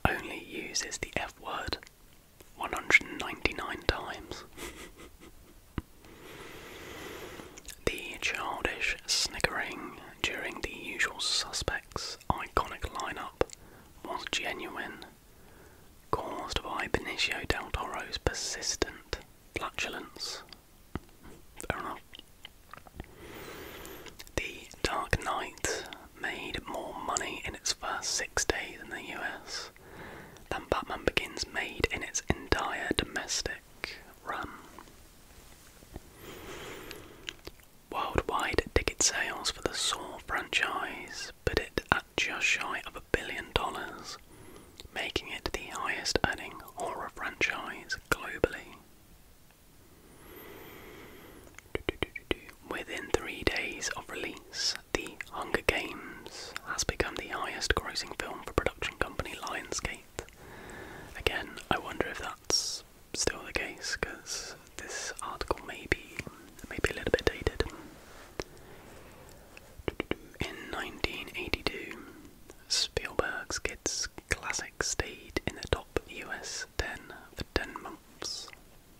only uses the F word 199 times. the childish snickering during the usual suspects' iconic lineup was genuine, caused by Benicio del Toro's persistent flatulence. Fair enough. The Dark Knight made more money in its first six days in the US than Batman Begins made in its entire domestic run. Worldwide ticket sales for the Saw franchise put it at just shy of a billion dollars making it the highest earning horror franchise globally. Within three days of release, The Hunger Games has become the highest grossing film for production company Lionsgate. Again, I wonder if that's still the case because this article may be, may be a little bit dated. In 1982, Spielberg's kids Classic stayed in the top US 10 for 10 months,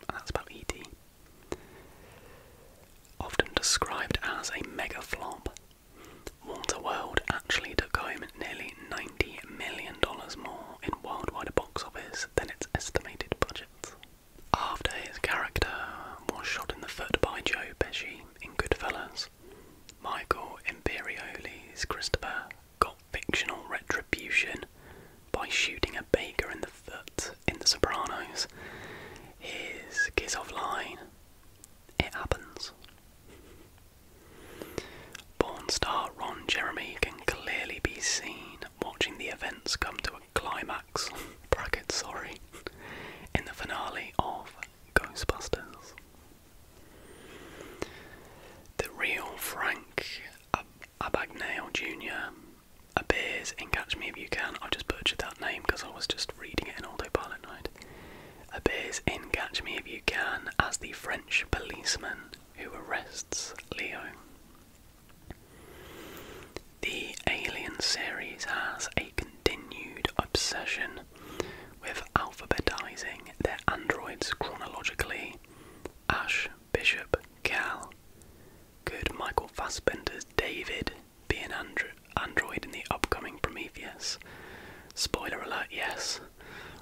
and that's about ET. Often described as a mega flop, Waterworld actually took home nearly $90 million more in worldwide box office than its estimated budget. After his character was shot in the foot by Joe Pesci in Goodfellas, Michael Imperioli's Christopher got fictional retribution by shooting a baker in the foot in The Sopranos. His Kiss Off Line, It Happens. Porn star Ron Jeremy can clearly be seen watching the events come to a climax, bracket sorry, in the finale of Ghostbusters. The real Frank Ab Abagnale Jr. appears in Catch Me If You Can. i just butchered that name because I was just reading it in autopilot mode. Appears in Catch Me If You Can as the French policeman who arrests Leo. The Alien series has a continued obsession with alphabetizing their androids chronologically. Ash, Bishop, Gal Could Michael Fassbender's David be an android in the upcoming Prometheus? Spoiler alert, yes.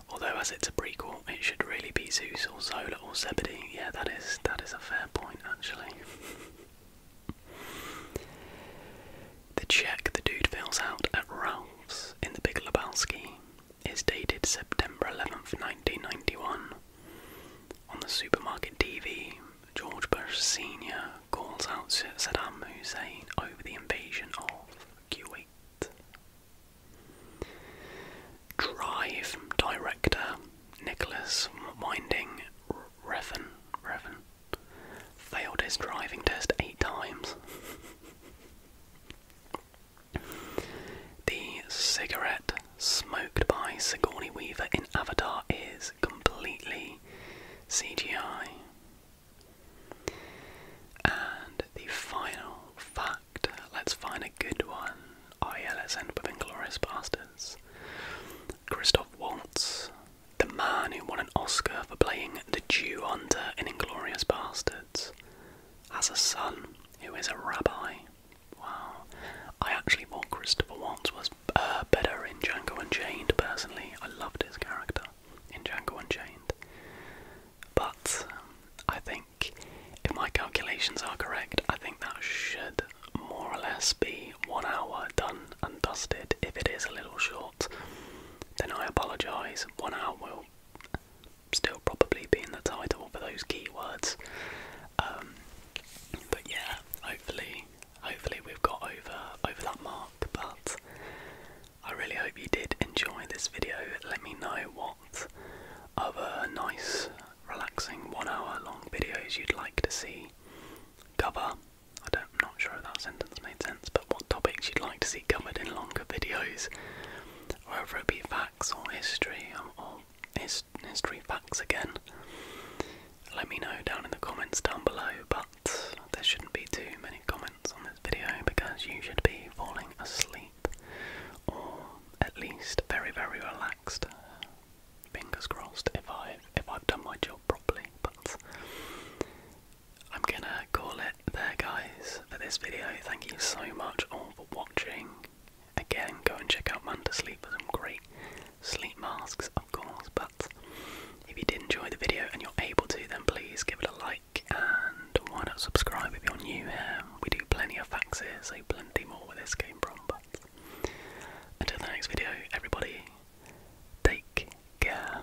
Although as it's a prequel, it should really be Zeus or Zola or Zebedee. Yeah, that is that is a fair point actually. The check the dude fills out at Ralph's in the Big Lebowski is dated September 11th, 1991. On the supermarket TV, George Bush Sr. calls out Saddam Hussein over the invasion of Kuwait. Drive director Nicholas Winding Refn, Refn Failed his driving test eight times. the cigarette smoked by Sigourney Weaver in Avatar is completely CGI. And the final fact let's find a good one. Oh, with Inglorious Bastards. Christoph Waltz, the man who won an Oscar for playing the Jew under in Inglorious Bastards as a son who is a rabbi. Wow. I actually thought Christopher Watts was uh, better in Django Unchained, personally. I loved his character in Django Unchained. But I think if my calculations are correct, I think that should more or less be one hour done and dusted if it is a little short then I apologise. One hour will still probably be in the title for those keywords. Um, but yeah, hopefully, hopefully we've got over over that mark. But I really hope you did enjoy this video. Let me know what other nice, relaxing one-hour-long videos you'd like to see cover. I don't I'm not sure if that sentence made sense, but what topics you'd like to see covered in longer videos, whether it be facts or history, um, or his history facts again. Let me know down in the comments down below, but there shouldn't be too many comments on this video because you should be falling asleep or at least very very relaxed. Fingers crossed if I if I've done my job properly, but I'm gonna call it there, guys, for this video. Thank you so much all for watching. Again, go and check out Man to Sleep for some great sleep masks, of course. But if you did enjoy the video and you're able to, then please give it a like and why not subscribe if you're new here? We do plenty of facts here, so plenty more where this came from. But until the next video, everybody, take care.